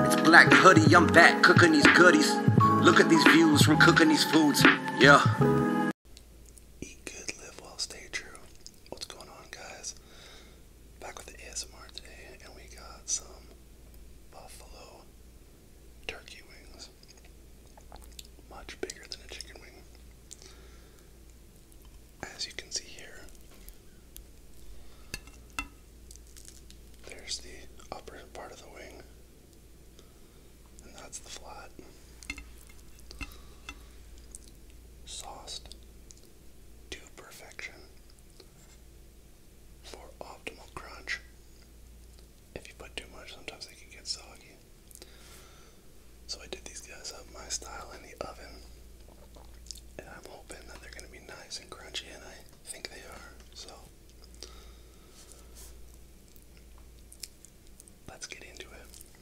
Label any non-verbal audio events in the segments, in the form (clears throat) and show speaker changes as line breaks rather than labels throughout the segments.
It's black hoodie, I'm back cooking these goodies. Look at these views We're cooking these foods. Yeah. Eat good, live well, stay true. What's going on, guys? Back with the ASMR today, and we got some buffalo turkey wings. Much bigger than a chicken wing. As you can see here, there's the upper part of the wing and that's the flat. Sauced to perfection for optimal crunch. If you put too much, sometimes they can get soggy. So I did these guys up my style in the oven, and I'm hoping that they're going to be nice and crunchy, and I think they are. So let's get into it.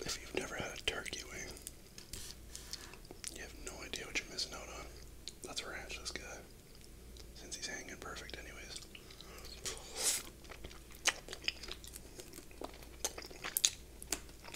If you've never had a turkey wing, you have no idea what you're missing out on. let ranch this guy. Since he's hanging perfect anyways.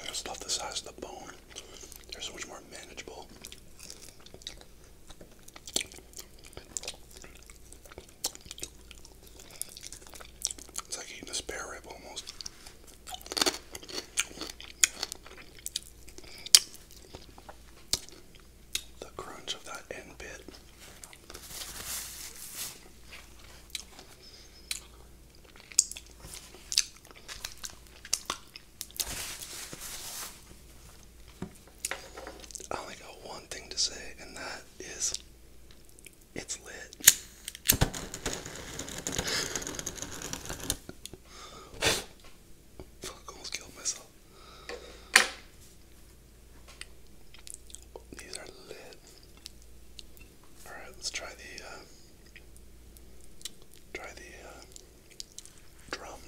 I just love the size of the bone. They're so much more manageable. It's like eating a spare rib almost. The crunch of that end bit. I only got one thing to say, and that is it's lit. Fuck, almost killed myself. These are lit. Alright, let's try the uh, Try the uh, drum.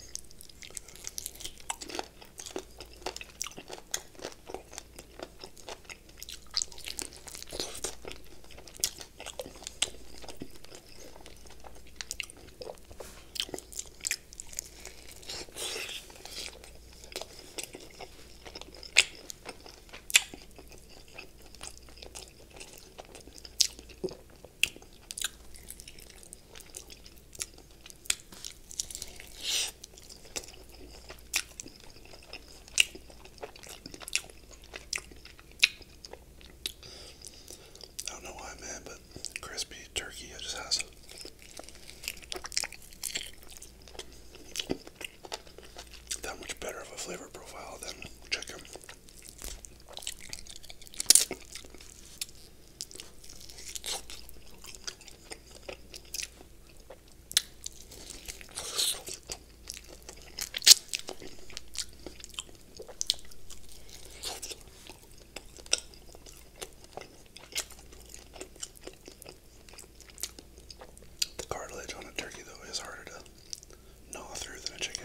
I don't know why I'm mad, but crispy turkey just has that much better of a flavor profile than chicken. The cartilage on a turkey, though, is harder to no, through than a chicken.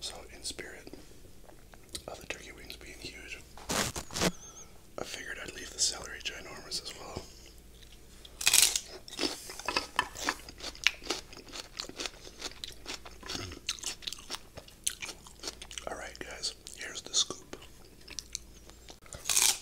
So, in spirit of the turkey wings being huge, I figured I'd leave the celery ginormous as well. Alright, guys, here's the scoop.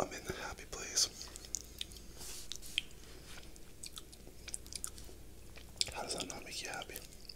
I'm in the happy place. How does that not make you happy?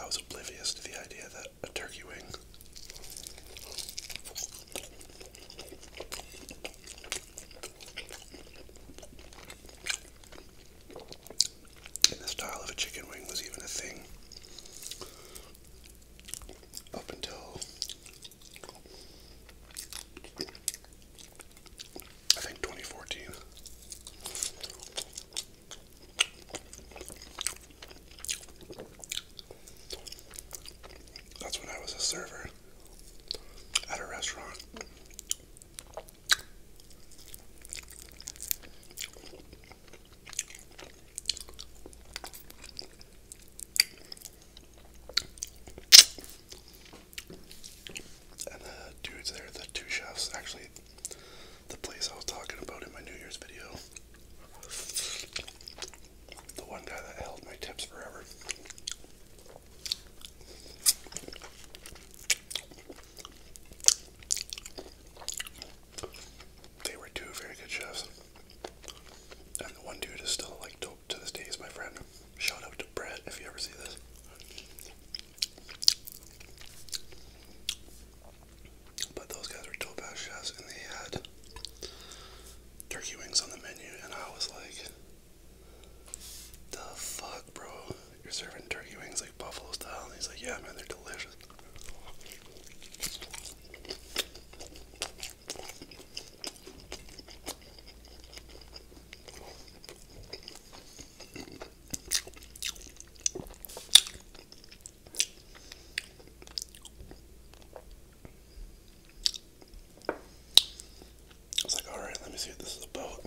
I was oblivious to the idea that a turkey wing the style of a chicken wing was even a thing up until I think 2014. That's when I was a server at a restaurant. And the dudes there, the two chefs, actually the place I was talking about in my New Year's video. The one guy that held my tips forever. They were two very good chefs. And the one dude is still like dope to this day is my friend. Shout out to Brett if you ever see this. But those guys were Topaz chefs and they had turkey wings on the menu and I was like the fuck bro, you're serving turkey wings like buffalo style and he's like, Yeah man, they're delicious. I was like, alright, let me see what this is about.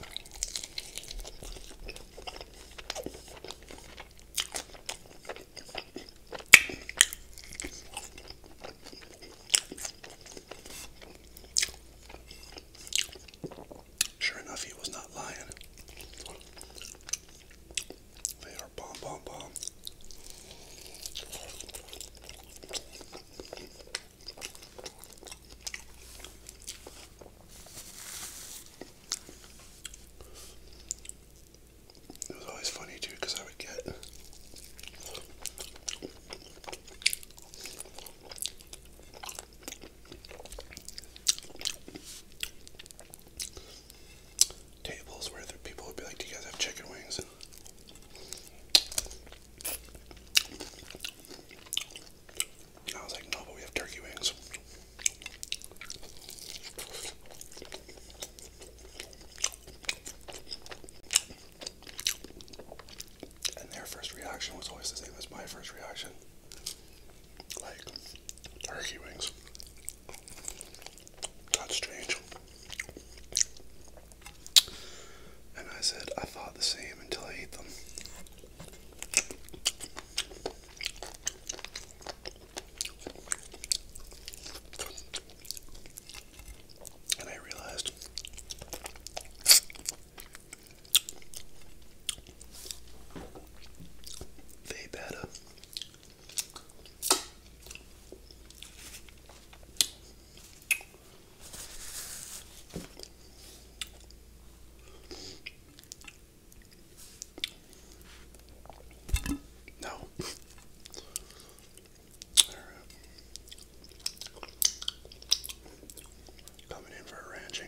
Sure enough, he was not lying. They are bomb, bomb, bomb. It was always funny too I would get tables where the people would be like, "Do you guys have chicken wings?" I was like, "No, but we have turkey wings." And their first reaction was always the same as my first reaction like turkey wings. That's strange. And I said, I thought the same until I ate them. And I realized they better. No. (laughs) Coming in for ranching.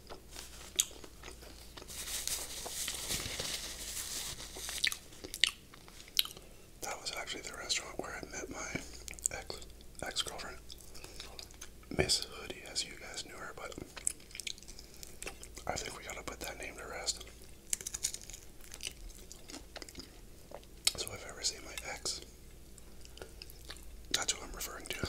That was actually the restaurant where I met my ex ex girlfriend, Miss Hoodie, as you guys knew her. But I think we gotta put that name to rest. So if I ever see my ex, that's who I'm referring to.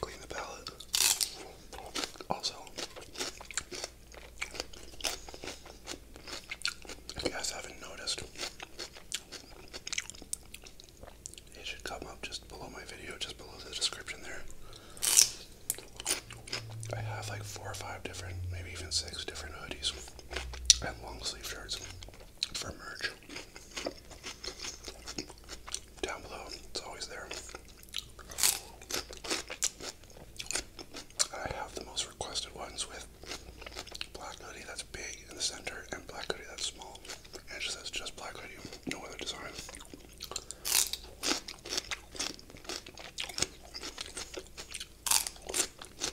Clean, the palate. Also, you guys haven't noticed, it should come up just below my video, just below the description there. I have like four or five different, maybe even six different hoodies and long sleeve shirts for merch. Down below, it's always there. I have the most requested ones with black hoodie that's big in the center and black hoodie that's small. And she says just black hoodie, no other design.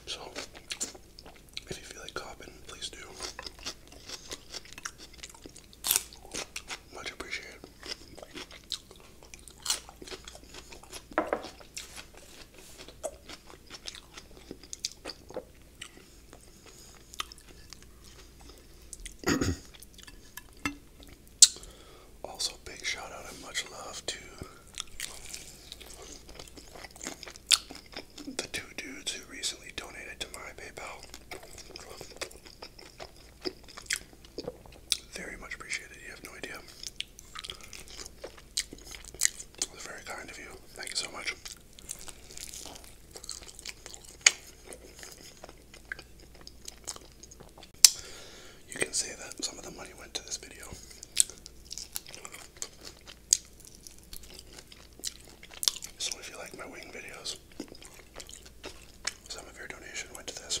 So, if you feel like copping, please do. Much appreciated. (clears throat) also, big shout out and much love to the two dudes who recently donated to my PayPal. Very much appreciated. You have no idea. That's very kind of you. Thank you so much. You can say that some of the money went to this video. So if you like my wing videos, some of your donation went to this.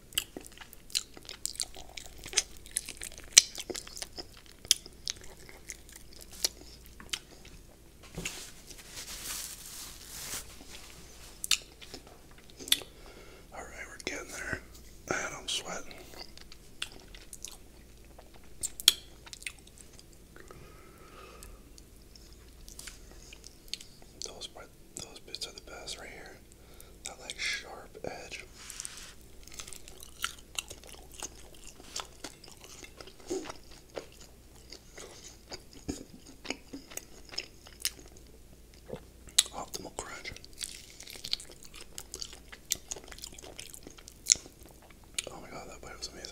All right, we're getting there. I'm sweating. Those, those bits are the best right here that like sharp edge. Optimal crunch. Oh my god, that bite was amazing.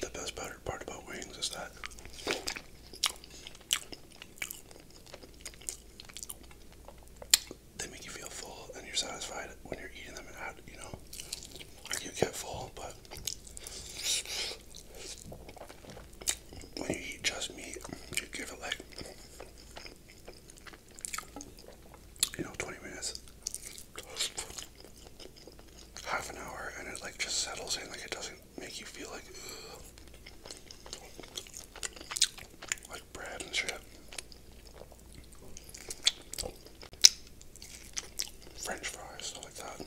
The best part about wings is that they make you feel full and you're satisfied when you're eating them out, you know? Like you get full, but when you eat just meat, you give it like, you know, 20 minutes half an hour and it like just settles in like it doesn't make you feel like like bread and shit. French fries, stuff like that.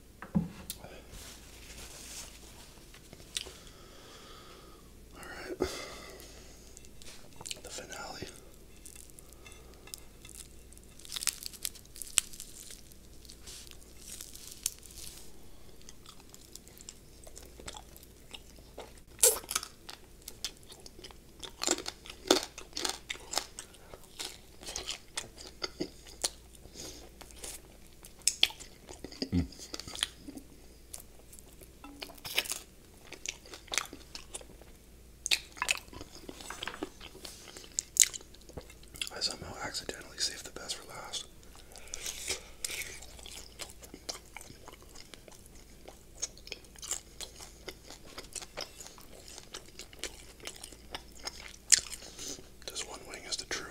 All right. The finale. I somehow accidentally saved the best for last. This one wing is the truth.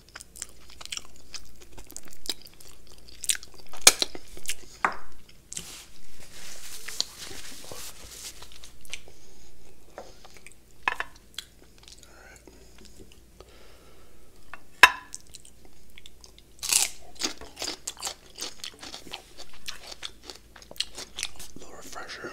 A little refresher.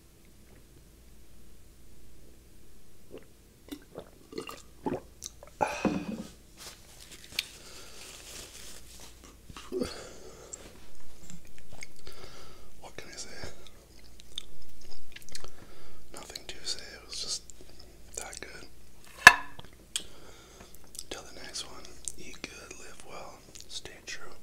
What can I say? Nothing to say, it was just that good. Till the next one, eat good, live well, stay true.